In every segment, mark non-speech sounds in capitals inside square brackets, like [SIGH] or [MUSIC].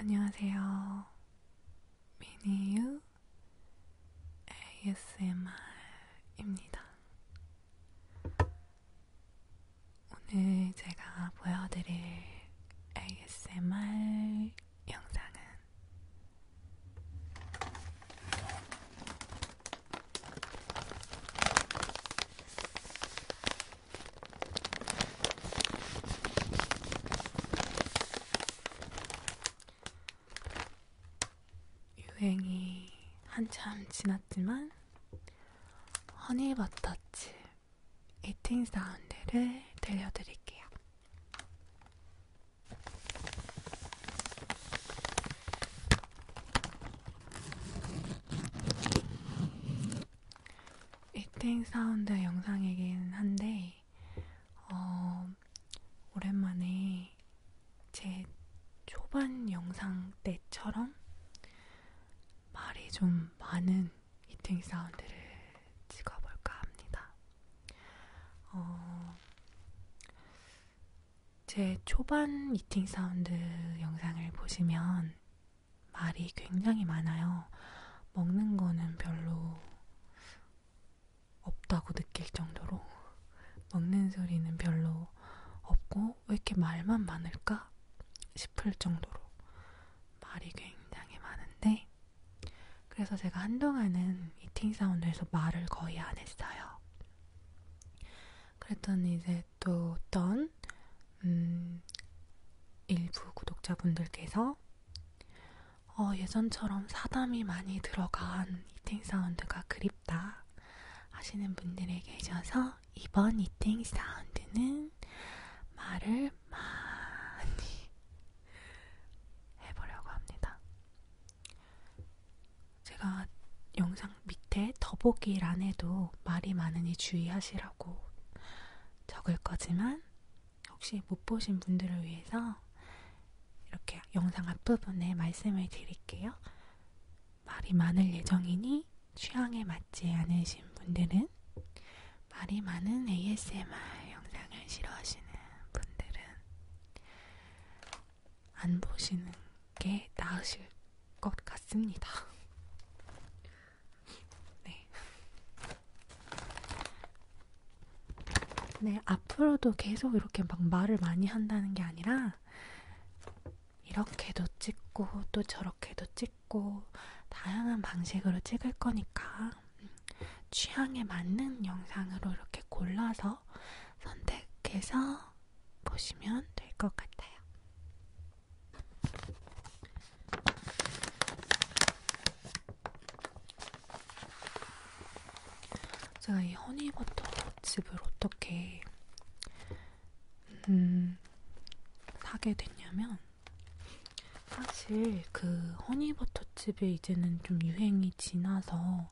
안녕하세요. 미니유 ASMR입니다. 오늘 제가 보여드릴 ASMR 영상은 유행이 한참 지났지만 허니버터칩 이팅 사운드를 들려드릴게요. 1땡 사운드 영상이긴 한데, 어, 오랜만에 제 초반 영상 때처럼 말이 좀 많은 이팅 사운드를 찍어볼까 합니다. 어, 제 초반 미팅 사운드 영상을 보시면 말이 굉장히 많아요. 먹는 거는 별로 없다고 느낄 정도로 먹는 소리는 별로 없고 왜 이렇게 말만 많을까 싶을 정도로 말이 굉장히 많은데 그래서 제가 한동안은 미팅 사운드에서 말을 거의 안 했어요. 그랬더니 이제 또 어떤 음, 일부 구독자분들께서 어, 예전처럼 사담이 많이 들어간 이팅 사운드가 그립다 하시는 분들에게 계셔서 이번 이팅 사운드는 말을 많이 해보려고 합니다. 제가 영상 밑에 더보기란에도 말이 많으니 주의하시라고 적을 거지만 혹시 못 보신 분들을 위해서 이렇게 영상 앞부분에 말씀을 드릴게요. 말이 많을 예정이니 취향에 맞지 않으신 분들은 말이 많은 ASMR 영상을 싫어하시는 분들은 안 보시는 게 나으실 것 같습니다. [LAUGHS] 네. 네, 앞으로도 계속 이렇게 막 말을 많이 한다는 게 아니라, 이렇게도 찍고, 또 저렇게도 찍고, 다양한 방식으로 찍을 거니까, 취향에 맞는 영상으로 이렇게 골라서 선택해서 보시면 될 것 같아요. 제가 이 허니버터 칩을 어떻게 음, 사게 됐냐면 사실 그 허니버터 칩이 이제는 좀 유행이 지나서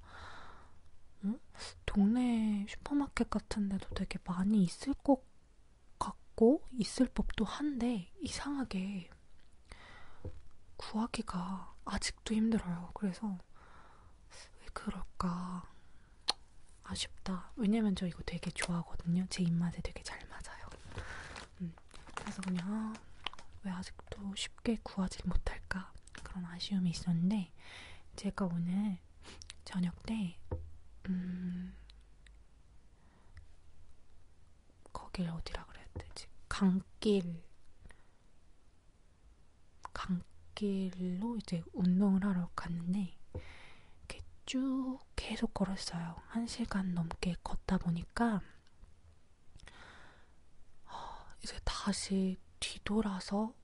응? 동네 슈퍼마켓 같은 데도 되게 많이 있을 것 같고 있을 법도 한데 이상하게 구하기가 아직도 힘들어요. 그래서 왜 그럴까 아쉽다. 왜냐면 저 이거 되게 좋아하거든요. 제 입맛에 되게 잘 맞아요. 음, 그래서 그냥 왜 아직도 쉽게 구하지 못할까 그런 아쉬움이 있었는데 제가 오늘 저녁 때, 음, 거길 어디라 그래야 되지? 강길, 강길로 이제 운동을 하러 갔는데, 이렇게 쭉 계속 걸었어요. 한 시간 넘게 걷다 보니까, 이제 다시 뒤돌아서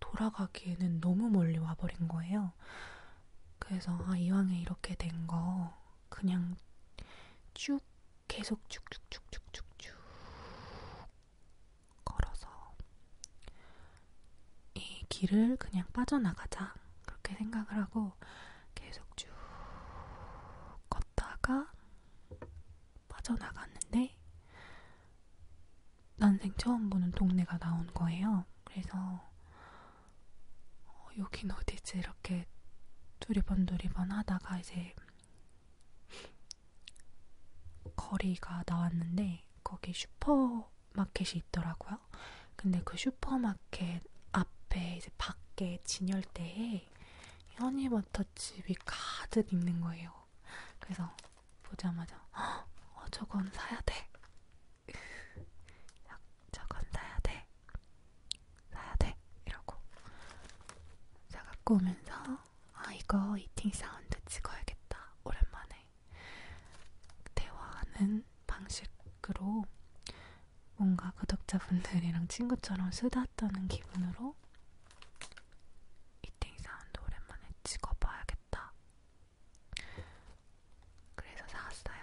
돌아가기에는 너무 멀리 와버린 거예요. 그래서 아, 이왕에 이렇게 된 거 그냥 쭉 계속 쭉쭉쭉쭉쭉쭉 걸어서 이 길을 그냥 빠져나가자 그렇게 생각을 하고 계속 쭉 걷다가 빠져나갔는데 난생 처음 보는 동네가 나온 거예요. 그래서 어, 여긴 어디지 이렇게 두리번두리번 하다가 이제 거리가 나왔는데 거기 슈퍼마켓이 있더라고요. 근데 그 슈퍼마켓 앞에 이제 밖에 진열대에 현이버터칩이 가득 있는 거예요. 그래서 보자마자 어, 저건 사야 돼. 저건 사야 돼. 사야 돼. 이러고 사 갖고 오면서 아 이거 이팅 사운드 찍어야겠다. 오랜만에 대화하는 방식으로 뭔가 구독자분들이랑 친구처럼 쓰다 떠는 기분으로 이팅 사운드 오랜만에 찍어봐야겠다 그래서 사왔어요.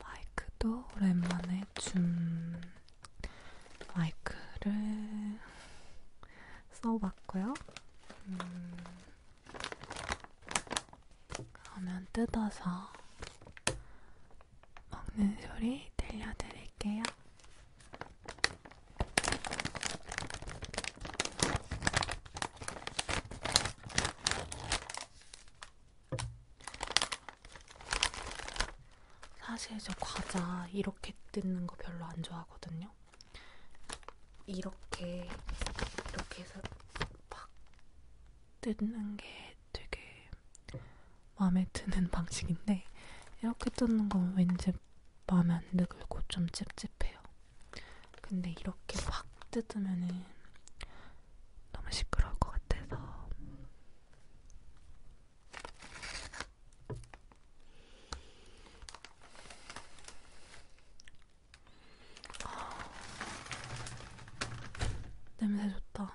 마이크도 오랜만에 줌 마이크를 써봤고요. 음, 그러면 뜯어서 먹는 소리 들려드릴게요. 사실 저 과자 이렇게 뜯는 거 별로 안 좋아하거든요. 이렇게 이렇게 해서 팍 뜯는 게 되게 마음에 드는 [LAUGHS] 방식인데 이렇게 뜯는 건 왠지 마음에 안 들고 좀 찝찝해요. 근데 이렇게 팍 뜯으면은 너무 시끄러울 것 같아서 냄새 좋다.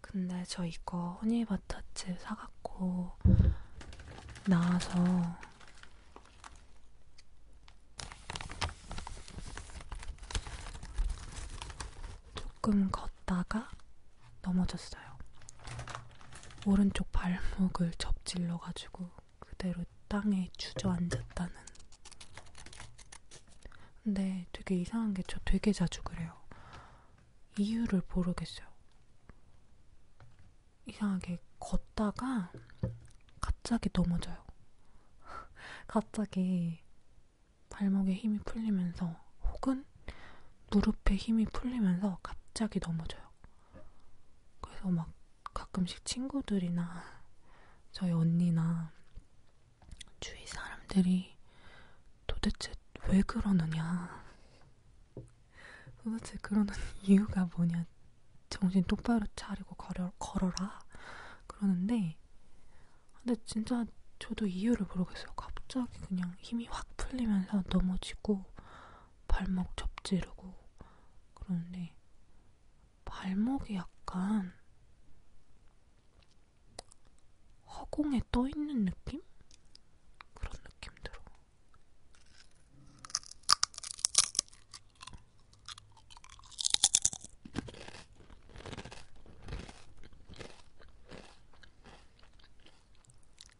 근데 저 이거 허니바타츠 사갖고 나와서 조금 걷다가 넘어졌어요. 오른쪽 발목을 접질러가지고 그대로 땅에 주저앉았다는. 근데 되게 이상한 게 저 되게 자주 그래요. 이유를 모르겠어요. 이상하게 걷다가 갑자기 넘어져요. [LAUGHS] 갑자기 발목에 힘이 풀리면서 혹은 무릎에 힘이 풀리면서 갑자기 넘어져요. 그래서 막 가끔씩 친구들이나 저희 언니나 주위 사람들이 도대체 왜 그러느냐. 도대체 그러는 [LAUGHS] 이유가 뭐냐. 정신 똑바로 차리고 걸어, 걸어라. 그러는데, 근데 진짜 저도 이유를 모르겠어요. 갑자기 그냥 그냥 힘이 확 풀리면서 넘어지고 발목 접지르고 그러는데 발목이 약간 허공에 떠있는 느낌? 그런 느낌 들어.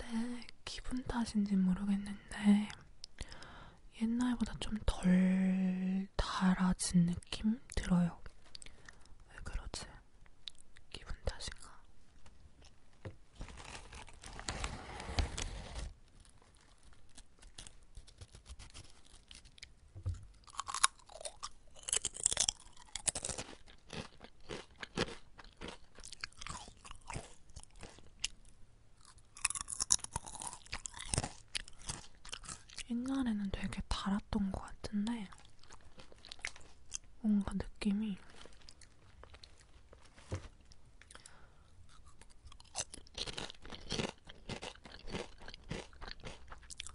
근데 기분 탓인지 모르겠는데 옛날보다 좀 덜 달아진 느낌 들어요. 왜 그러지? 기분 탓인가? 옛날에는 되게 달았던 것 같은데 뭔가 느낌이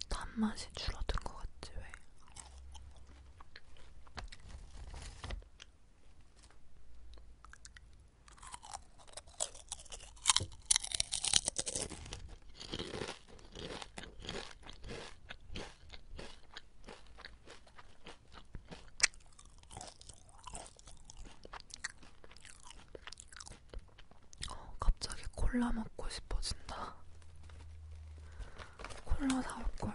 단맛이 줄어든 것 같지 왜? 어, 갑자기 콜라 먹고 싶어진다. 콜라 사올걸.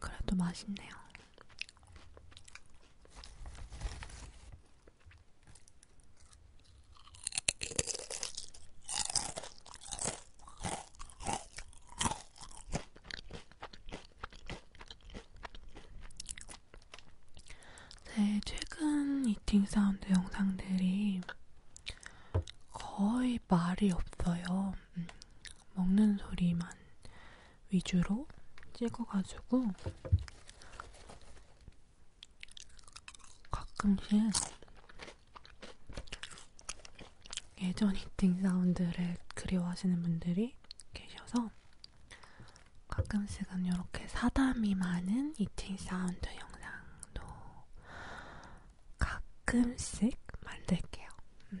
그래도 맛있네요. 네, 최근 이팅 사운드 영상들이 거의 말이 없어요. 음, 먹는 소리만 위주로 찍어가지고 가끔씩 예전 이팅 사운드를 그리워하시는 분들이 계셔서 가끔씩은 이렇게 사담이 많은 이팅 사운드 영상도 가끔씩 만들게요. 음.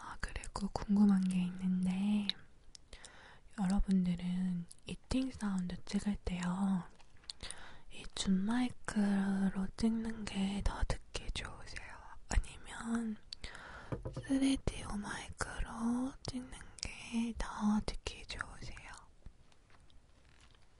아, 그리고 궁금한 게 있는데, 여러분들은 이팅 사운드 찍을 때요, 이 줌마이크로 찍는 게 더 듣기 좋으세요? 아니면 3D 마이크로 찍는 게 더 듣기 좋으세요?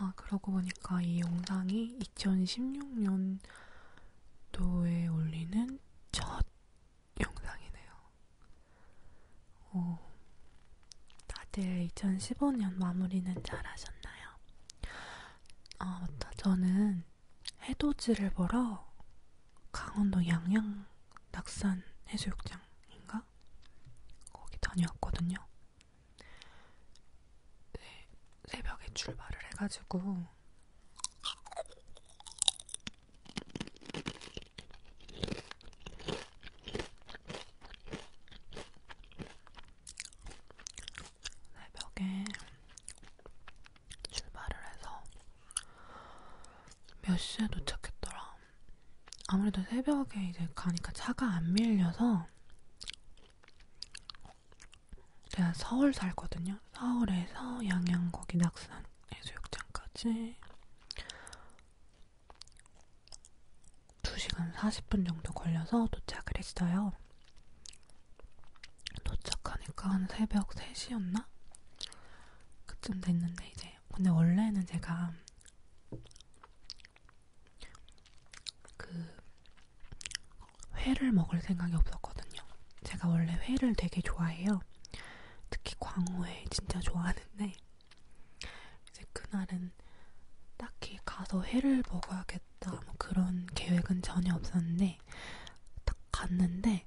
아, 그러고 보니까 이 영상이 2016년도에 올리는 첫 영상이네요. 오, 다들 2015년 마무리는 잘 하셨나요? 아, 맞다. 저는 해돋이를 보러 강원도 양양 낙산 해수욕장인가? 거기 다녀왔거든요. 네, 새벽에 출발을 해가지고 새벽에 출발을 해서 몇 시에 도착했더라. 아무래도 새벽에 이제 가니까 차가 안 밀려서 제가 서울 살거든요. 서울에서 양양거기 낙산 해수욕장까지 2시간 40분 정도 걸려서 도착을 했어요. 도착하니까 한 새벽 3시였나? 그쯤 됐는데 이제 근데 원래는 제가 그 회를 먹을 생각이 없었거든요. 제가 원래 회를 되게 좋아해요. 특히 광어회 진짜 좋아하는데 이제 그날은 딱히 가서 회를 먹어야겠다 뭐 그런 계획은 전혀 없었는데 딱 갔는데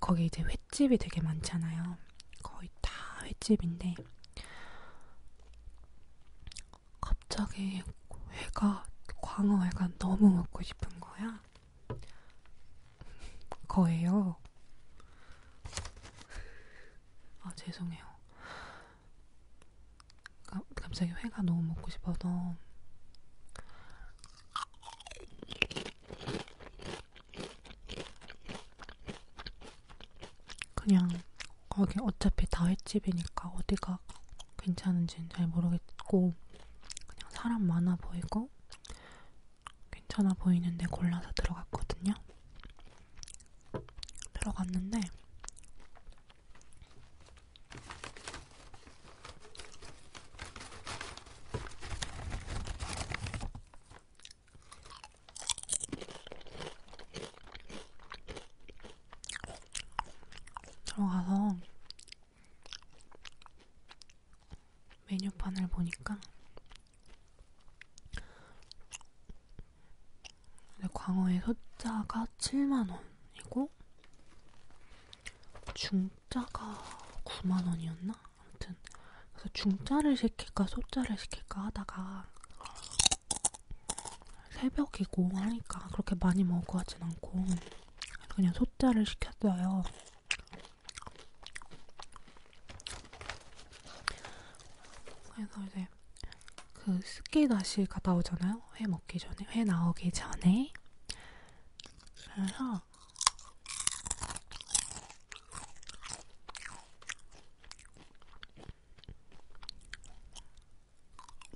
거기 이제 횟집이 되게 많잖아요. 거의 다 횟집인데 갑자기 회가 광어회가 너무 먹고 싶은 거야. 거예요. 아, 죄송해요. 가, 갑자기 회가 너무 먹고 싶어서. 그냥 거기 어차피 다횟집이니까 어디가 괜찮은지는 잘 모르겠고 그냥 사람 많아 보이고 괜찮아 보이는데 골라서 들어갔거든요. 들어갔는데 들어가서 메뉴판을 보니까 광어의 소자가 7만원이고 중자가 9만원이었나? 아무튼 그래서 중자를 시킬까 소자를 시킬까 하다가 새벽이고 하니까 그렇게 많이 먹을 것 같진 않고 그냥 소자를 시켰어요 그래서 이제 그 스키다시가 나오잖아요. 회 먹기 전에, 회 나오기 전에. 그래서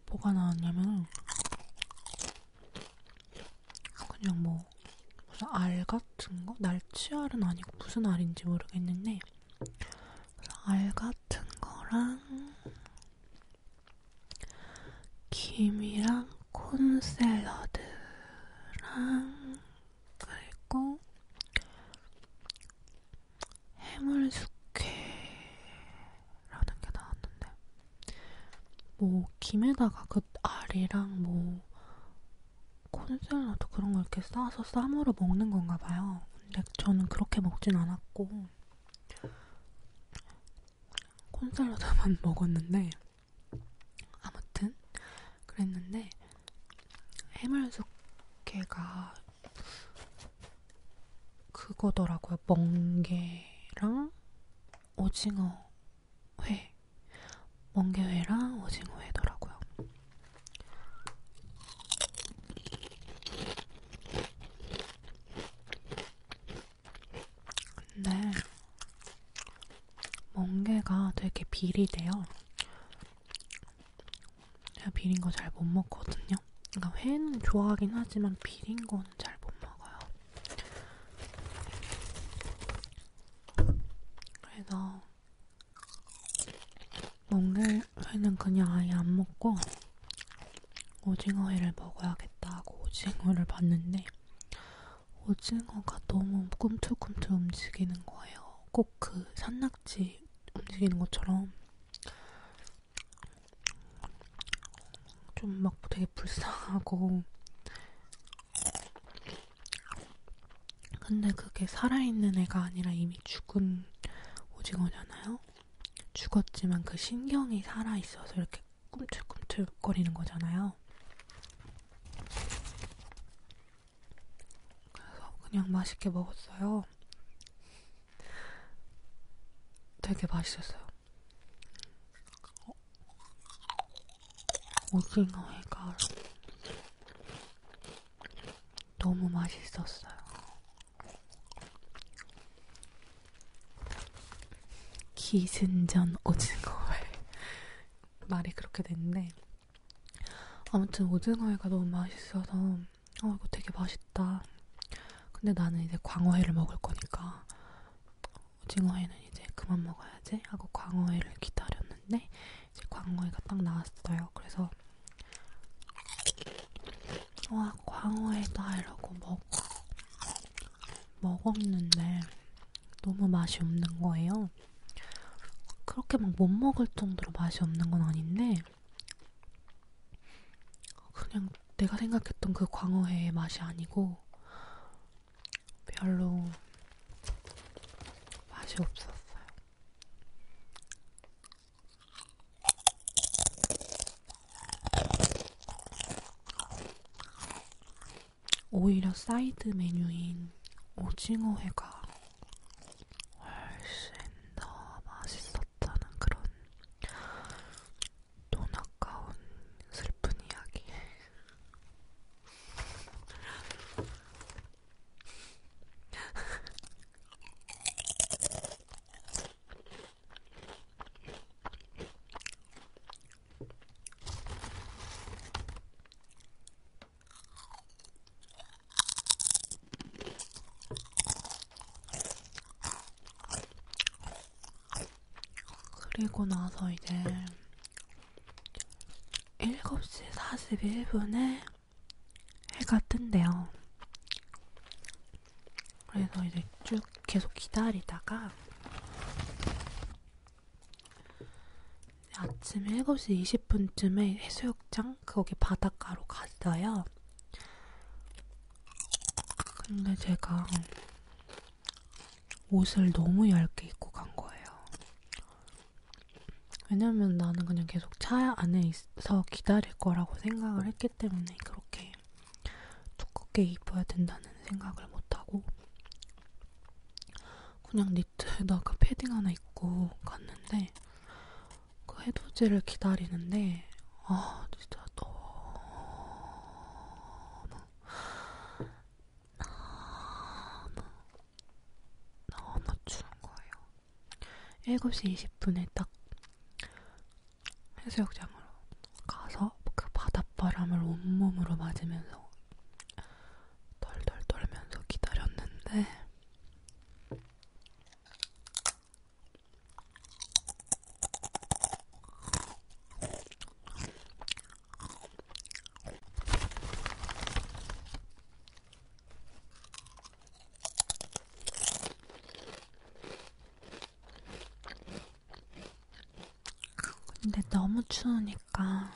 뭐가 나왔냐면 그냥 뭐 무슨 알 같은 거? 날치알은 아니고 무슨 알인지 모르겠는데 알 같은 거랑 김이랑 콘샐러드랑 그리고 해물숙회라는 게 나왔는데 뭐 김에다가 그 알이랑 뭐 콘셀러도 그런 걸 이렇게 싸서 쌈으로 먹는 건가 봐요. 근데 저는 그렇게 먹진 않았고 콘셀러다만 [LAUGHS] 먹었는데 아무튼 그랬는데 해물숙회가 그거더라고요. 멍게랑 오징어 회 멍게회랑 오징어회더라고요. 근데 멍게가 되게 비리대요. 제가 비린 거 잘 못 먹거든요. 그러니까 회는 좋아하긴 하지만 비린 거는 잘 못 먹어요. 그래서 먹는 회는 그냥 아예 안 먹고 오징어회를 먹어야겠다 하고 오징어를 봤는데 오징어가 너무 꿈틀꿈틀 움직이는 거예요. 꼭 그 산낙지 움직이는 것처럼 좀 막 되게 불쌍하고 근데 그게 살아있는 애가 아니라 이미 죽은 오징어잖아요. 죽었지만 그 신경이 살아있어서 이렇게 꿈틀꿈틀거리는 거잖아요. 그래서 그냥 맛있게 먹었어요. 되게 맛있었어요. 오징어의 가루 너무 맛있었어요. 기승전 오징어회 [LAUGHS] 말이 그렇게 됐는데 아무튼 오징어회가 너무 맛있어서 어 이거 되게 맛있다. 근데 나는 이제 광어회를 먹을 거니까 오징어회는 이제 그만 먹어야지 하고 광어회를 기다렸는데 이제 광어회가 딱 나왔어요. 그래서 와 광어회다 이러고 먹 먹었는데 너무 맛이 없는 거예요. 그렇게 막 못 먹을 정도로 맛이 없는 건 아닌데 그냥 내가 생각했던 그 광어회의 맛이 아니고 별로 맛이 없었어요. 오히려 사이드 메뉴인 오징어회가 훨씬 더 맛있었다는 그런 돈 아까운 슬픈 이야기. 그리고 나서 이제 7시 41분에 해가 뜬대요. 그래서 이제 쭉 계속 기다리다가 아침 7시 20분쯤에 해수욕장 거기 바닷가로 갔어요. 근데 제가 옷을 너무 얇게 입고 간 거예요. 왜냐면 나는 그냥 계속 차 안에 있어 기다릴 거라고 생각을 했기 때문에 그렇게 두껍게 입어야 된다는 생각을 못하고 그냥 니트에다가 패딩 하나 입고 갔는데 그 해돋이를 기다리는데 아 진짜 너무 너무 너무 아, 추운 거예요. 7시 20분에 딱 해수욕장으로 가서 그 바닷바람을 온몸으로 맞으면서 덜덜 떨면서 기다렸는데 근데 너무 추우니까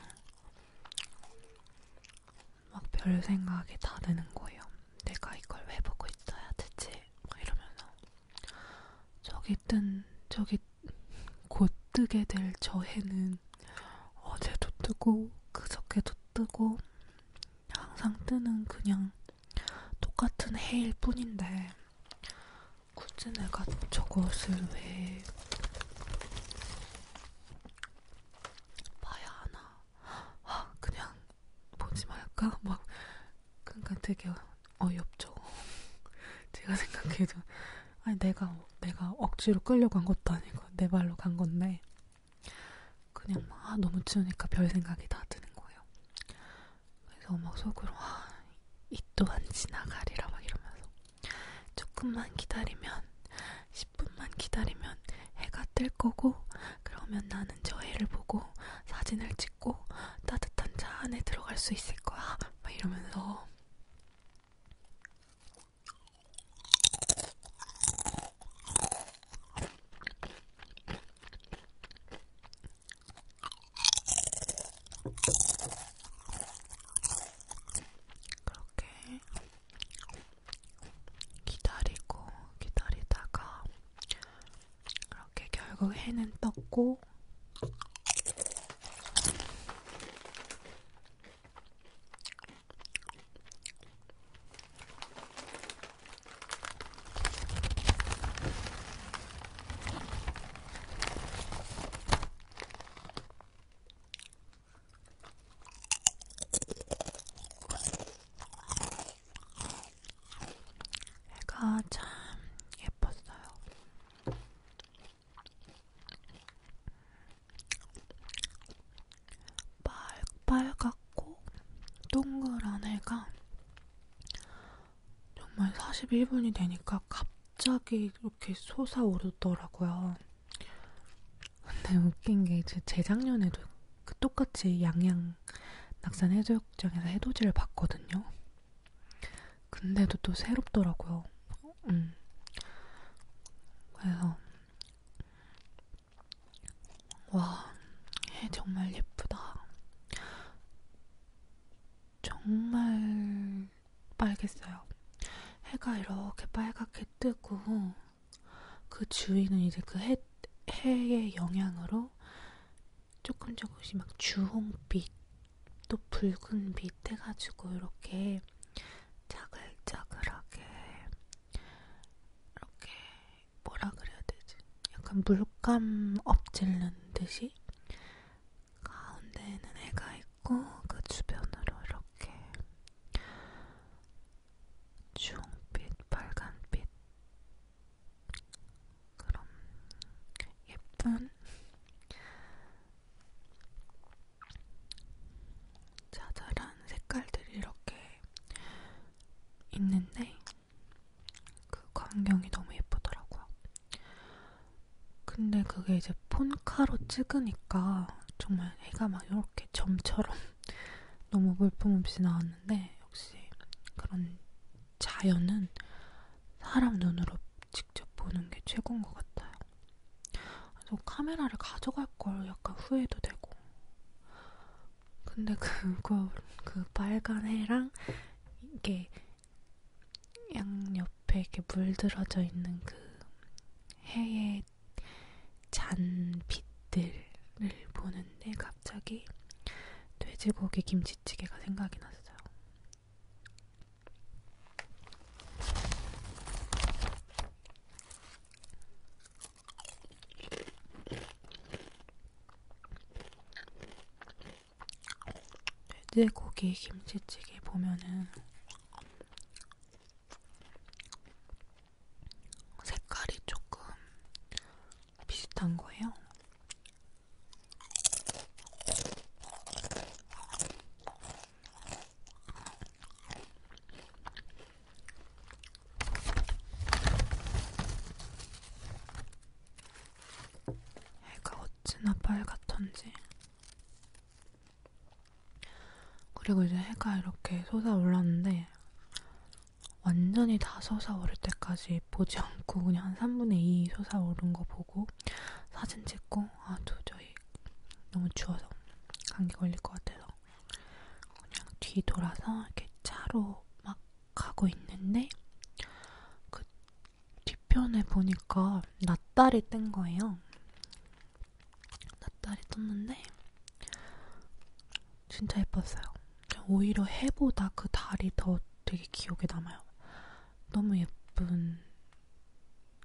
막 별 생각이 다 드는 거예요. 내가 이걸 왜 보고 있어야 되지? 막 이러면서 저기 뜬 저기 곧 뜨게 될 저 해는 어제도 뜨고 그저께도 뜨고 항상 뜨는 그냥 똑같은 해일 뿐인데 굳이 내가 저것을 왜 봐야 하나 아, 그냥 보지 말까 막 그러니까 되게 어이없죠 [LAUGHS] 제가 생각해도 아니 내가 뭐 내가 억지로 끌려간 것도 아니고 내 발로 간 건데 그냥 막 아, 너무 추우니까 별 생각이 다 드는 거예요. 그래서 막 속으로 아, 이 또한 지나가리라 막 이러면서 조금만 기다리면 10분만 기다리면 해가 뜰 거고 그러면 나는 저 해를 보고 사진을 찍고 따뜻한 차 안에 들어갈 수 있을 거야 막 이러면서 그렇게 기다리고 기다리다가 그렇게 결국 해는 떴고 애가 참 예뻤어요. 빨갛고 동그란 애가 정말 41분이 되니까 갑자기 이렇게 솟아오르더라고요. 근데 웃긴 게 이제 재작년에도 그 똑같이 양양 낙산 해수욕장에서 해돋이를 봤거든요. 근데도 또 새롭더라고요. 음. 그래서 와, 해 정말 예쁘다. 정말 빨겠어요. 해가 이렇게 빨갛게 뜨고 그 주위는 이제 그 해, 해의 영향으로 조금 조금씩 막 주홍빛 또 붉은빛 해가지고 이렇게 자글자글하게 이렇게 뭐라 그래야 되지? 약간 물감 엎질른 듯이 가운데에는 애가 있고 그 주변으로 이렇게 주홍빛, 빨간빛 그런 예쁜 자잘한 색깔들이 이렇게 있는데 그 광경이 너무 예쁘더라고요. 근데 그게 이제 폰카로 찍으니까 정말 해가 막 이렇게 점처럼 [LAUGHS] 너무 물품없이 나왔는데 역시 그런 자연은 사람 눈으로 직접 보는 게 최고인 것 같아요. 그래서 카메라를 가져갈 걸 약간 후회도 되고. 근데 그거 그, 그 빨간 해랑 이게 양 옆에 이렇게 물들어져 있는 그 해의 잔 빛들을 보는데 갑자기 돼지고기 김치찌개가 생각이 났어요. 돼지고기 김치찌개 보면은 색깔이 조금 비슷한 거예요. 애가 어찌나 빨갛던지. 그리고 이제 해가 이렇게 솟아올랐는데 완전히 다 솟아오를 때까지 보지 않고 그냥 한 3분의 2 솟아오른 거 보고 사진 찍고 아 도저히 너무 추워서 감기 걸릴 것 같아서 그냥 뒤 돌아서 이렇게 차로 막 가고 있는데 그 뒤편에 보니까 낯달이 뜬 거예요. 낯달이 떴는데 진짜 예뻤어요. 오히려 해보다 그 달이 더 되게 기억에 남아요. 너무 예쁜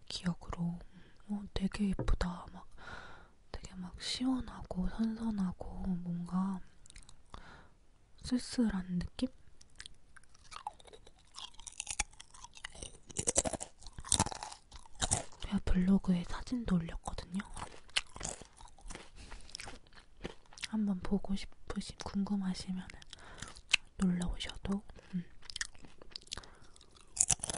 기억으로 어, 되게 예쁘다 막 되게 막 시원하고 선선하고 뭔가 쓸쓸한 느낌? 제가 블로그에 사진도 올렸거든요. 한번 보고 싶으시, 궁금하시면 놀러 오셔도 음.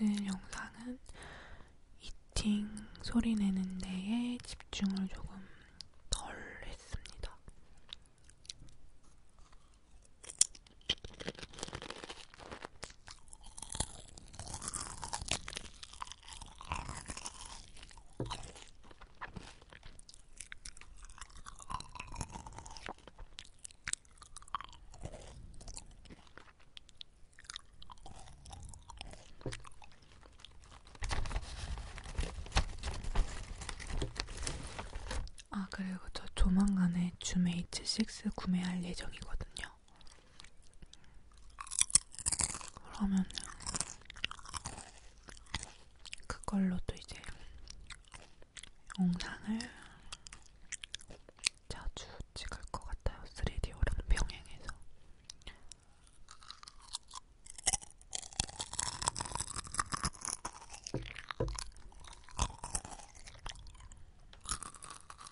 오늘 영상은 이팅 소리 내는 데에 집중을 조금 덜 했습니다. 아 그리고 저 조만간에 줌메이츠6 구매할 예정이거든요. 그러면 그걸로 또 이제 영상을 자주 찍을 것 같아요. 3D오랑 병행해서.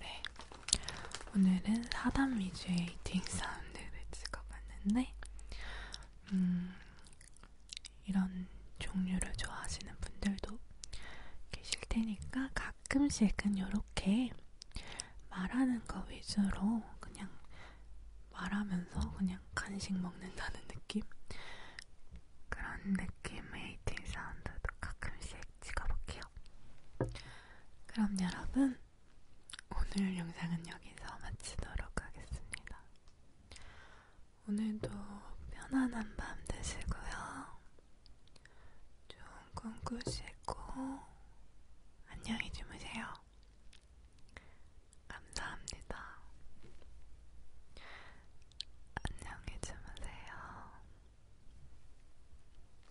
네, 오늘은 사담 위주의 에이팅 사운드를 찍어봤는데 음, 이런 종류를 좋아하시는 분들도 계실 테니까 가끔씩은 이렇게 말하는 거 위주로 그냥 말하면서 그냥 간식 먹는다는 느낌? 그런 느낌의 에이팅 사운드도 가끔씩 찍어볼게요. 그럼 여러분 오늘 영상은 여기서 마치도록 하겠습니다. 오늘도 편안한 밤 되시고요. 좋은 꿈 꾸시고 안녕히 주무세요. 감사합니다. 안녕히 주무세요.